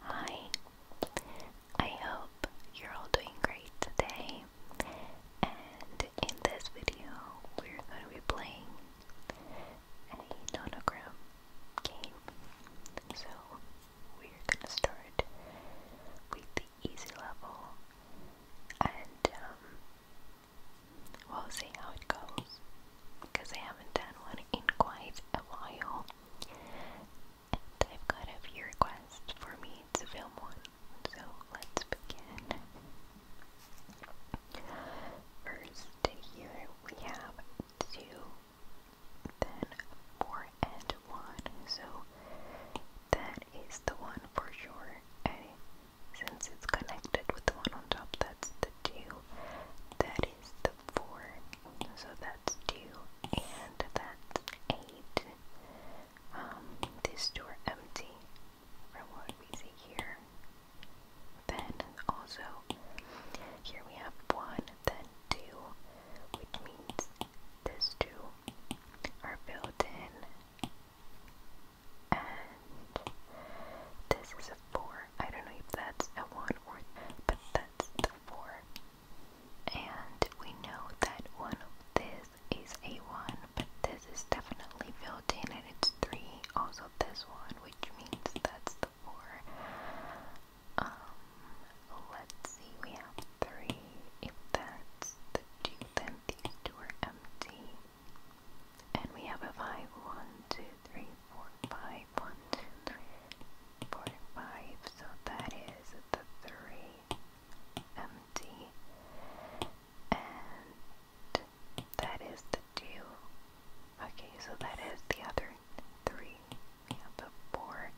Hi, I hope you're all doing great today. And in this video, we're going to be playing a nonogram game. So, we're going to start with the easy level and um, we'll see how it goes because I haven't done one in quite a while. And have got a few requests for me to film one, so let's begin. First, here we have two, then four and one, so that is the one for sure. And since it's connected with the one on top, that's the two. That is the 4, so that's 2, and that's 8. Um, this door empty from what we see here. Then also, here we have 1, then 2, which means these two are built in. And this is a 4. I don't know if that's a 1 or but that that's the four. And we know that one of this is a one, but this is definitely built in and it's three. Also this one, which means that's the four. Um, let's see, we have three. If that's the two, then these two are empty. And we have a five, one, two, three, four, five five, one, two, three, four, five. So that is the three empty, and that is the two. Okay, so that is the other three. We have the four,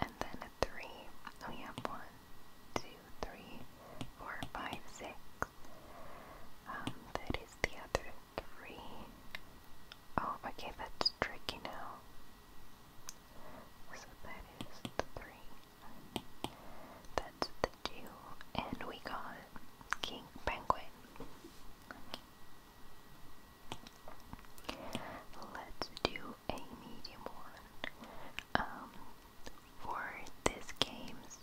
and then a three. We have one, two, three, four, five, six. Um, that is the other three. Oh, okay, that's tricky now. So that is the three. That's the two. And we got King Penguin. Let's do a medium one. Um, for this game's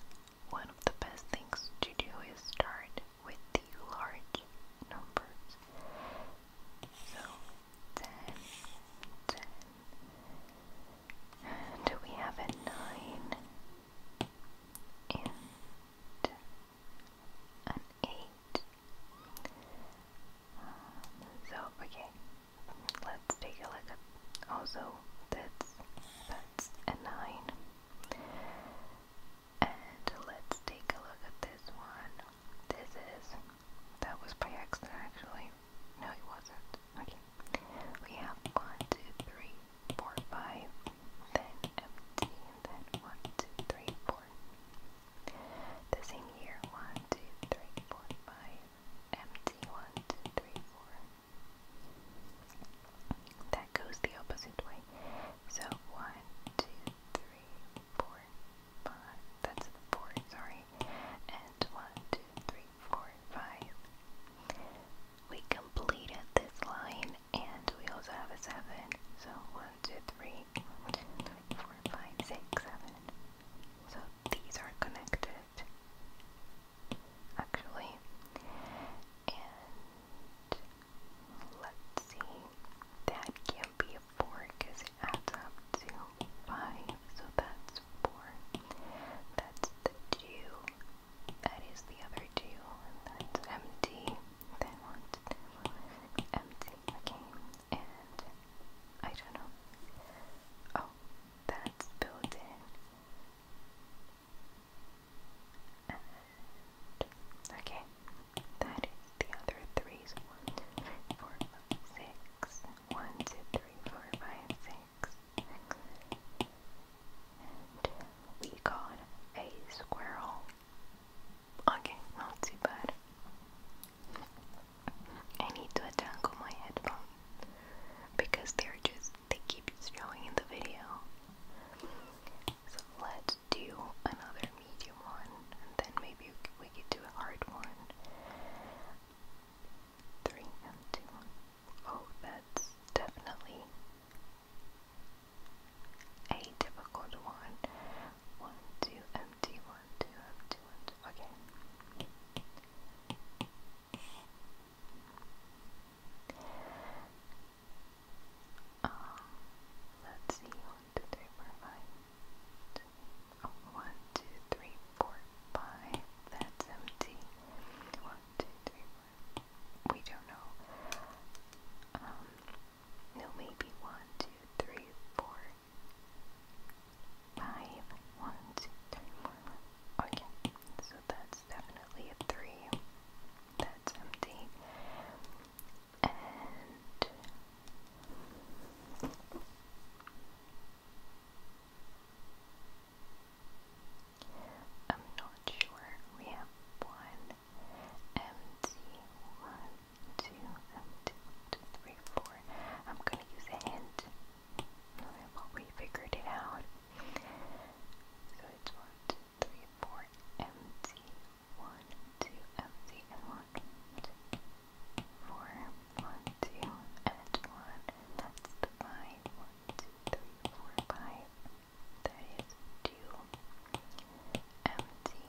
one of the best things to do is start with the large numbers. So, 10, Do we have a 9 an 8? so, okay, let's take a look at also that's, that's a 9. And let's take a look at this one. This is. That was by accident, actually. No, it wasn't. Okay. We have one, two, three, four, five. Then empty. And then one, two, three, four. The same here. One, two, three, four, five. Empty. One, two, three, four. That goes the opposite way. So one, two, three, four, five. That's the four, sorry. And one, two, three, four, five. We completed this line and we also have a seven. So one, two, three, one, two, three, four, five, six, seven. So these are connected actually. And Let's see. That can't be a 4 because it adds up to 5. So that's 4. That's the 2. That is the other 2. that's empty. That one's empty. Okay. And I don't know. Oh, that's built in okay, that is the other threes. One, two, three, four, five, six. One, two, three, four, five, six. we got a squirrel. Okay, not too bad. I need to adjust my headphones because they're just they keep showing in the video. So let's do another medium one, and then maybe we could do a hard one. Three Oh, that's definitely a difficult one. One, two, empty, one, two, empty, one, Okay. Um, let's see, what did That's empty. One, two, three, four. We don't know. Um, maybe one, two, three, four, five. One, two, three, four. Okay, so that's definitely a three that's empty. I'm not sure. We have one empty, one, two, empty, one, two, three, four. I'm gonna use a hint. we figured it out. So it's one, three, four, empty, one, two, empty, and one, four, one, two, and one, and that's the five, one, two, three, four, five, that is two, empty,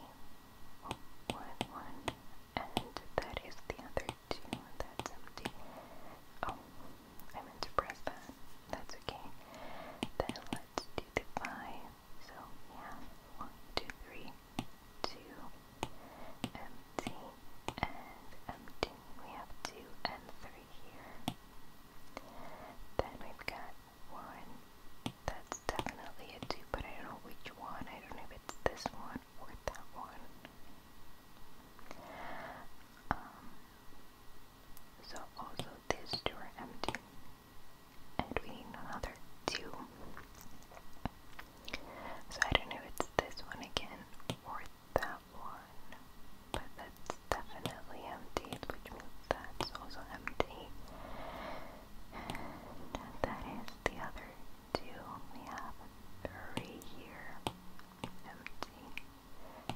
one, one, and that is the other two, that's empty, oh, I meant to press that. That's okay. Then let's do the five. So yeah, one, two, three, two, empty and empty. We have two and three here. Then we've got one. That's definitely a two, but I don't know which one. I don't know if it's this one or that one. Um, so also this two are empty. And we need another two. So I don't know if it's this one again or that one. But that's definitely empty, which means that's also empty. that is the other two. We have three here. Empty.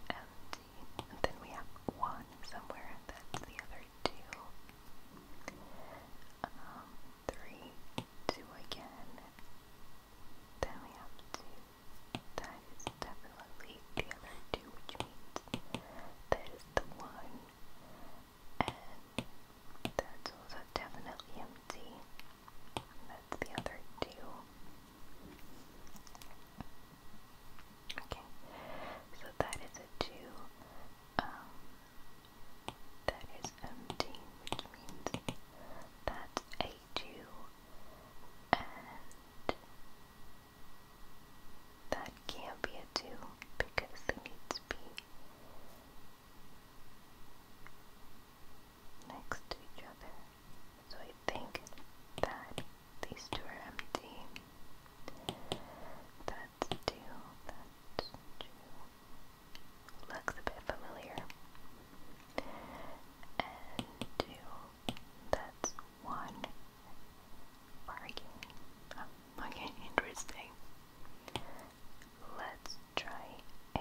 Empty and then we have one somewhere, and the other two. Um, three, two again. Then we have two. That is definitely the other two, which means that is the one. And that's also definitely empty. that's the other two. Okay, so that is a 2. Um, that is empty, which means that's a 2. And that can't be a 2 because it needs to be next to so I think that these two are empty. That's two, that's two. Looks a bit familiar. And two, that's one. Bargain. Oh, okay, interesting. Let's try a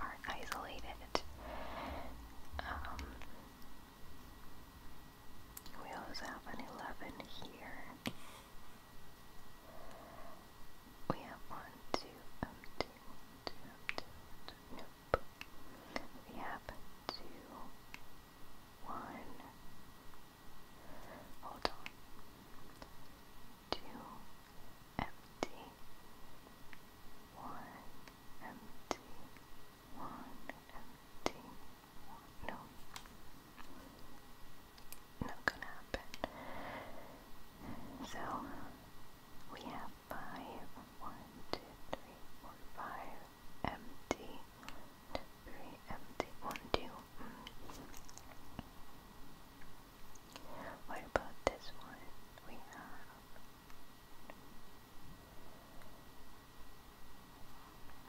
are isolated. Um, we also have an 11 here. We have one, two, um, two, two, um, two, two, nope. We have two, one, hold on, two, empty, one, empty, one, empty, one. No. Not gonna happen. So, we have five, one, two, three, four, five, empty, three, empty, one, two. Mm. What about this one? We have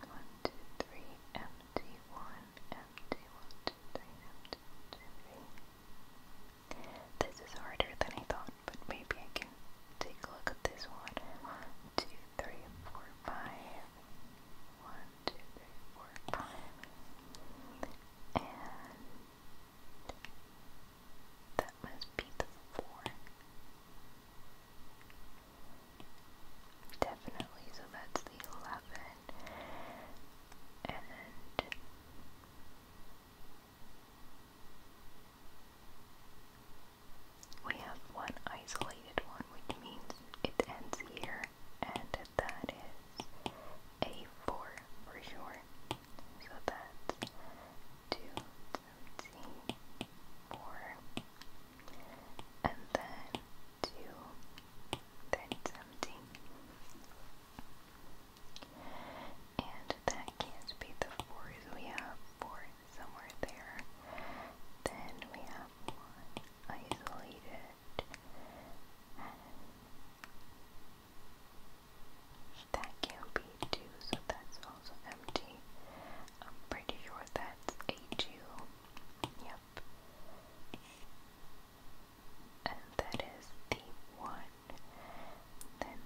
one, two, three, empty, one, empty, one, two, three, empty, one, two, three. This is harder than I thought, but maybe I can take a look at this one. One, two, three, four, five. One, two, three, four, five. And that must be the four. Definitely, so that's the eleven. And we have one isolated one, which means it ends here, and that is a four for sure. So that's two empty, four, and then two, then it's empty. And that can't be the four, so we have four somewhere there. Then we have one isolated. That can be 2, so that's also empty. I'm pretty sure that's a 2. Yep. And that is the 1. Then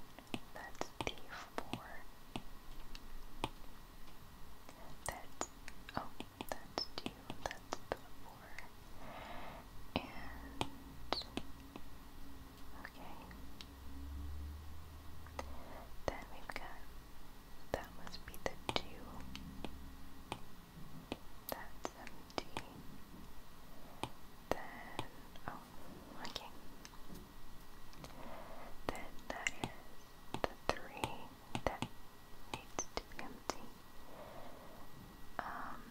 that's the 4. That's, oh, that's 2, that's the 4. And Okay. Then we've got that must be the two. That's empty. Then oh okay. Then that is the three that needs to be empty. Um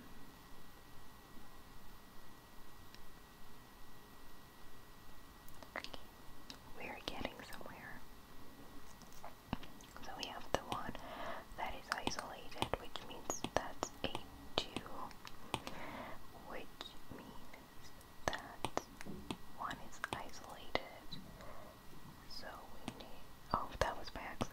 we're getting somewhere. So we have the one that is isolated, which means that's eight 2, which means that 1 is isolated. So we need. Oh, that was by accident.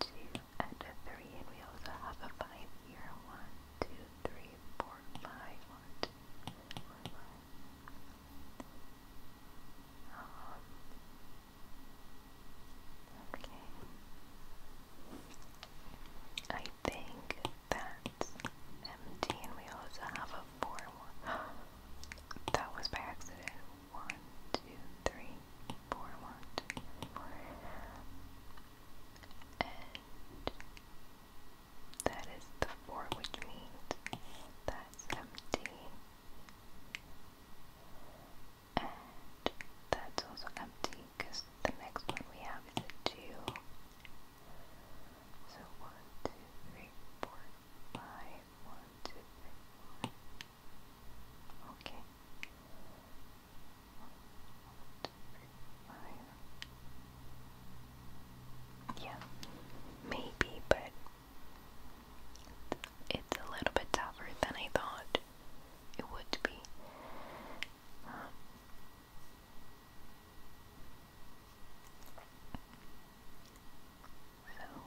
two, and three, and we also have a five here. One, two, three, four, five. One, two, three, four, five. okay. I think that's empty, and we also have a four one. that was by accident. One, two, three, four, one, two, three, four and that is the 4, which means that's empty, and that's also empty because the next one we have is a 2. So 1, Okay. Yeah, maybe, but it's a little bit tougher than I thought it would be. Um, so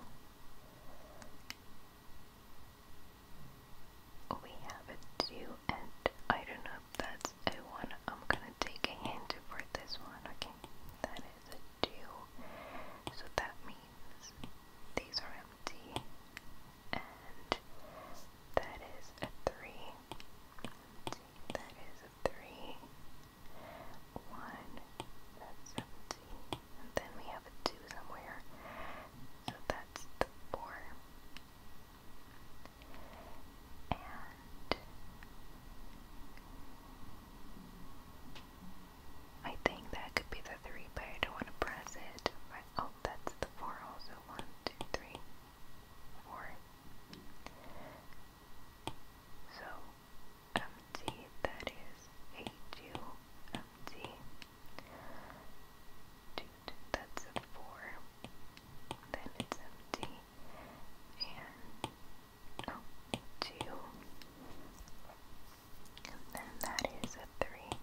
we have a 2 and I don't know if that's a 1. I'm gonna take a hint for this one, okay? That is a 2. So that means these are empty. And that is a 3. That is a 3. 1. That's empty. then we have have a 2 somewhere. So that's the 4. And I think that could be the 3, but I don't want to press it. oh, that's the 4 also. 1, So, empty, that is a 2, empty, Dude, that's a four. Then it's empty. And oh, two. And then that is a three,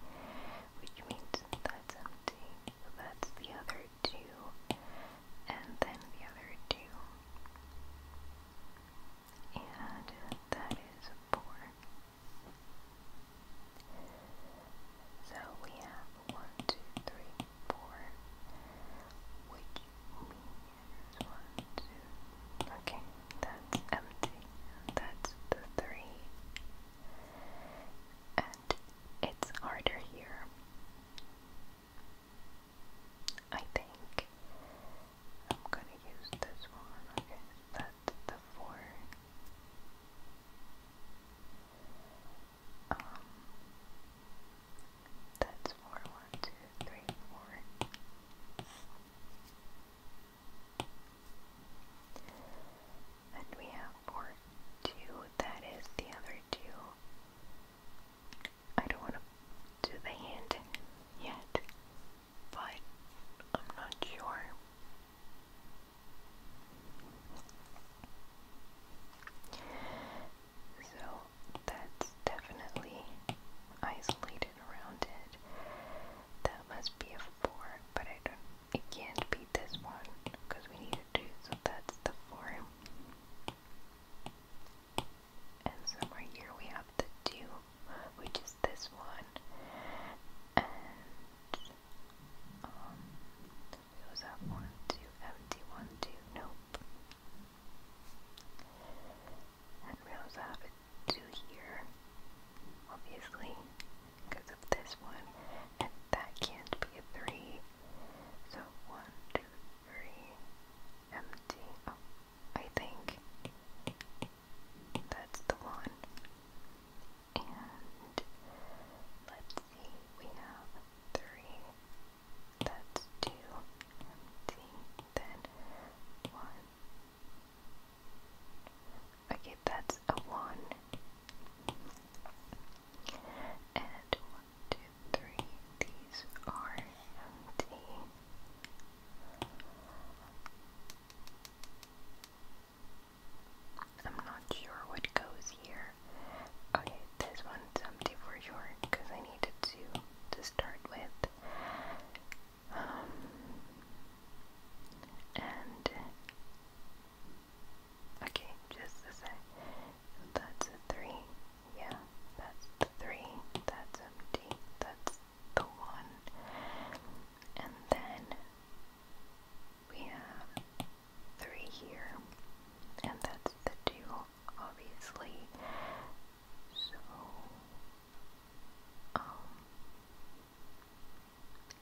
which means that's empty. So that's the other two. And then the other two. And that is a four. So we have one, two, three, four, which means one, two. Okay, that's empty. That's the three. And it's harder here. I think I'm gonna use this one. Okay, that's the four. Um, that's four, one, two, three, four. And we have four, two, that is the other two. I don't want to do the hand yet but I'm not sure. So that's definitely isolated around it. That must be a 4, but I don't, it can't be this one because we need a 2, so that's the 4. And somewhere here we have the 2 which is this one, we also have one, two, empty, one, two, nope. And we also have two here, obviously, because of this one, and that can't be three. So one, two, three, empty. Oh, I think. That's the one. And let's see, we have three. That's two. Then one. Okay, that's a one. And one, two, three. These are empty. I'm not sure what goes here. Okay, this one's empty for sure because I needed to to start with. Um, and okay, just a sec. That's a three. Yeah, that's the three. That's empty. That's the one, and then we have three here, and that's the two, obviously. So, um,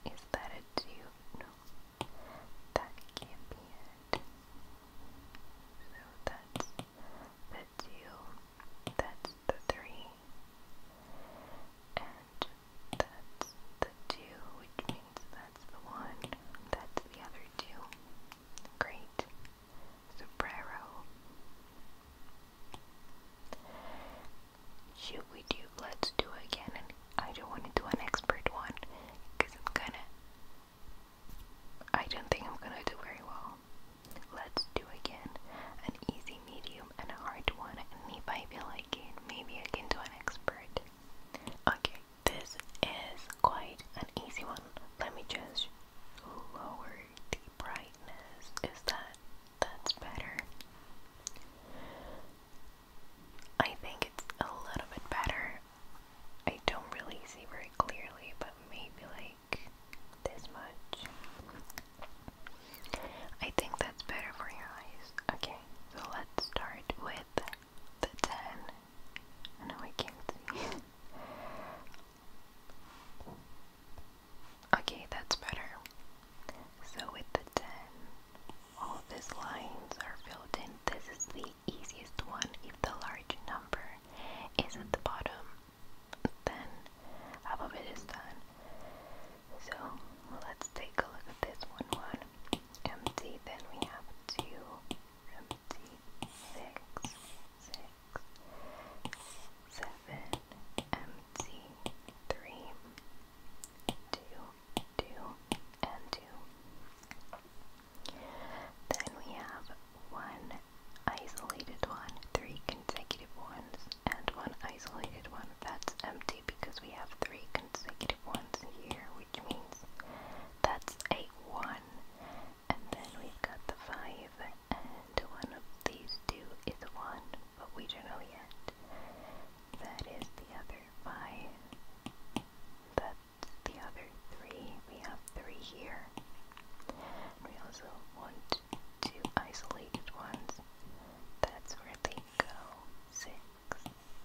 is that a two? No, that can't be it. So that's the two, that's the three, and that's the two, which means that's the one, that's the other two. Great. Sombrero. Should we do, let's do it again, and I don't want to do an expert one, because I'm gonna, I don't think I'm gonna do very well. Let's do again an easy medium, and a hard one, and if I feel like it, maybe I can do an expert. Okay, this is quite an easy one. Let me just lower the brightness. Is that that's better? I think it's a little bit better. I don't really see very clearly, but maybe like this much. I think that's better for your eyes. Okay, so let's start with the 10. No, I can't see. okay, that's better. So with the 10, all these lines are filled in. This is the easiest one if the large number is at the bottom then half of it is done. So let's take a look at this one. One empty, then we have two empty, six, six, seven, empty, three, two, two, and two. Then we have one isolated one, three consecutive ones and one isolated one that's empty because we have three consecutive ones here, which means that's a one. And then we've got the five, and one of these two is a one, but we don't know yet. That is the other five. That's the other three. We have three here. We also want two isolated ones. That's where they go. Six,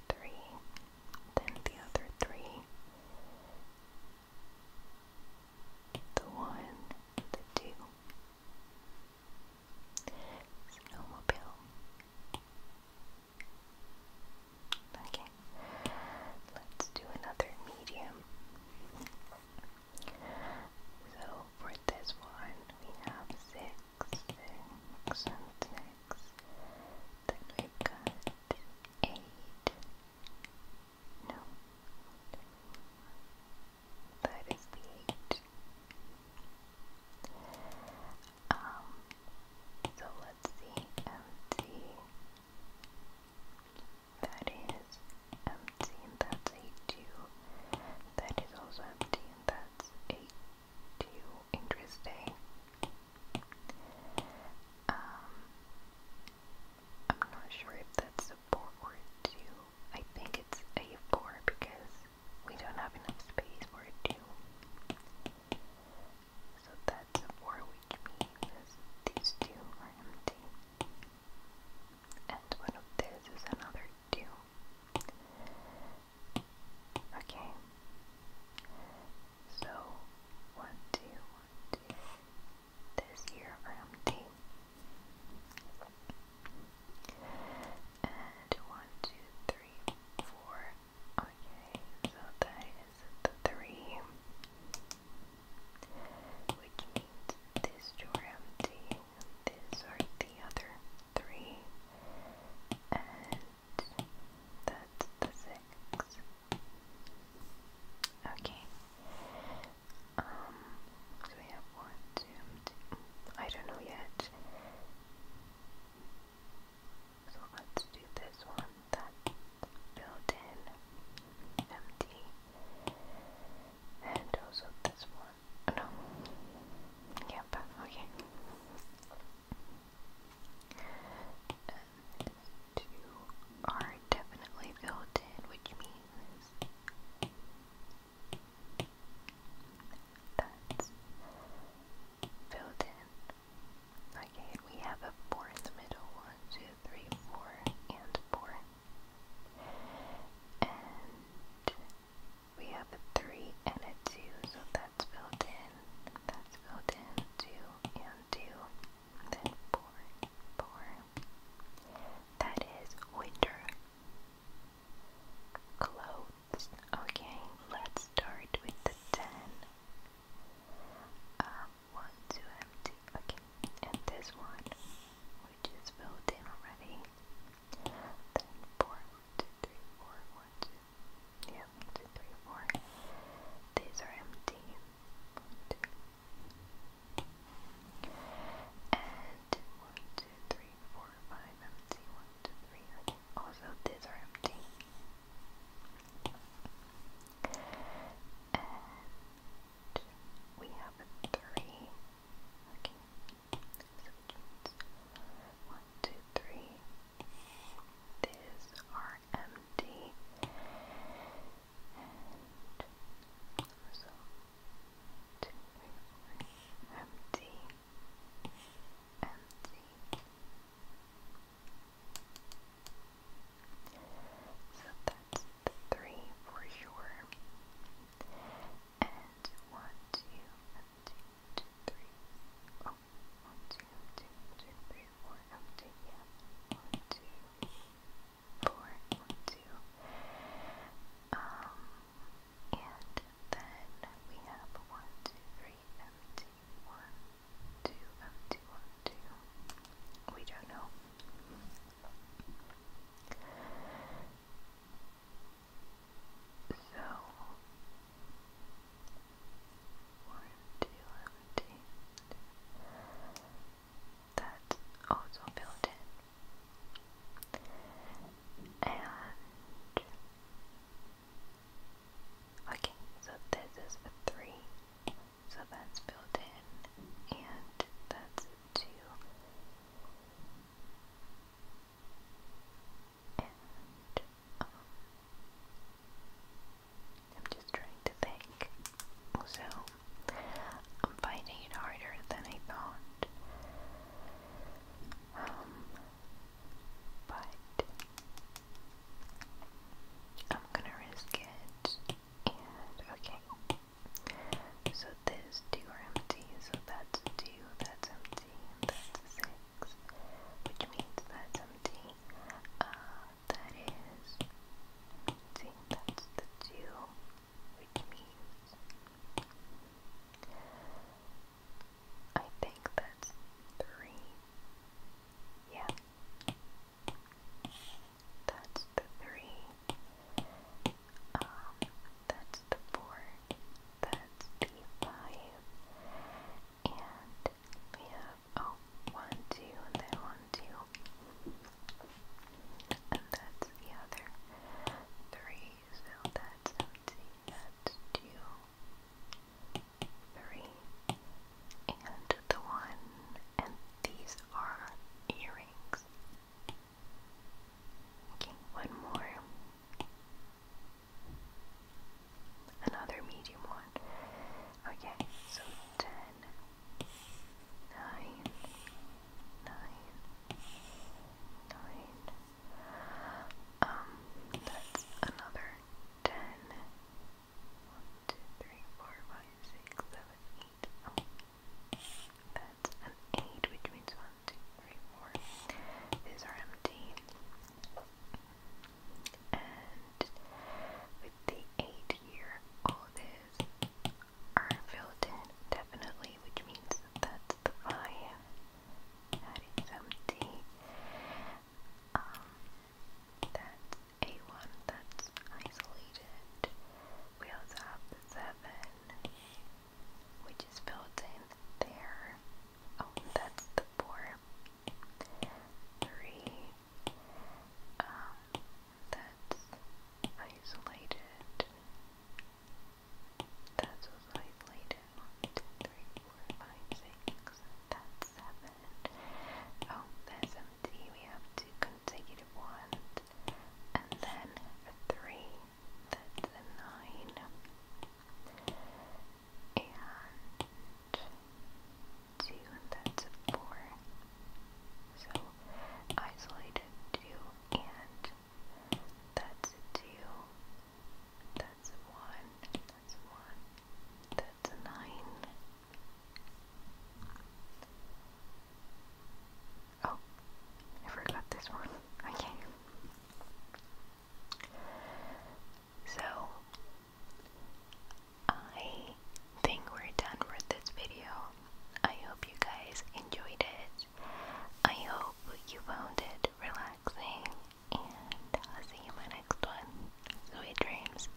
three, then the other three. The one, the two. Snowmobile. Okay, let's do another medium. So for this one, we have six, six, and six. Then we eight. No. That is the eight. Um, so let's see, that is empty and that's a 2. That is also empty that's a 2. Interesting. Um, I'm not sure if that's a 4 or 2. I think it's a 4 because we don't have enough space for 2. So that's 4 which means these two are empty and one of this is another two. Okay. So one, two, one, two. This here are empty. And one, two, three, four. Okay, so that is the three. Which means this two are empty these are the other three. And that's the six. Okay. Um, so we have one, two, two. I don't know yet. So let's do this one. That built in empty and also this one. Oh, no. Yep, okay. two are definitely built in, which means that's built in. Okay, we have a four in the middle. One, two, three, four, and four. And we have a 3 and a 2, so that's built in. That's built in. 2 and 2. Then 4, 4. That is winter clothes. Okay, let's start with the 10. Um, 1, 2, empty okay, and this one which is built in already. Then four, one, two, three, four, one, two, yeah, one, two, three, four. These are empty. And one, two, three, four, five, empty, one, two, three, Also these are empty and we have three. Okay, one, two, three. These are empty, and so two, three, four, empty, empty. So that three for sure. And one, two, one, two, two, three. Oh, one, two, two, two, three, four, oh, two, Um, and then we have one, two, three, empty, one, two, empty, one, two. We don't know. So, 1 that's also built in. And, okay, so this is a 3 so that's built in, and that's two. Um, I'm just trying to think. So I'm finding it harder than I thought. Um, but I'm gonna risk it. And okay, so this two are empty, so that's two, that's empty, and that's six, which means that's empty. Uh, that is, see, that's the two, which means I think that's three. Yeah, that's the three. Um, that's the four. That's the five. And we have oh one, two, and then one, two. And that's the other three. So that's empty. and the one. And these are your rings. Okay, one more. Another medium one. Okay, so ten, nine, nine, nine. Um, that's another ten. One, two, three, four, five, six, seven, eight. That's an eight, which means one, two, three, four. These are empty. And with the eight here, all these are filled in definitely, which means that's the five. That is empty. Um, that's a one that's isolated. We also have seven, which is built in there. Oh, that's the four. Three. Um, that's isolated. That's isolated. One, two, three, four, five, six. That's seven. Oh, there's and we have two consecutive ones, and then a three, that's a nine, and two, that's a four. So isolated two, and that's two, that's one, that's one, that's a nine. Oh, I forgot this one. Okay. So, I think we're done with this video. I hope you guys enjoyed it. I hope you found it relaxing, and I'll see you in my next one. Sweet dreams.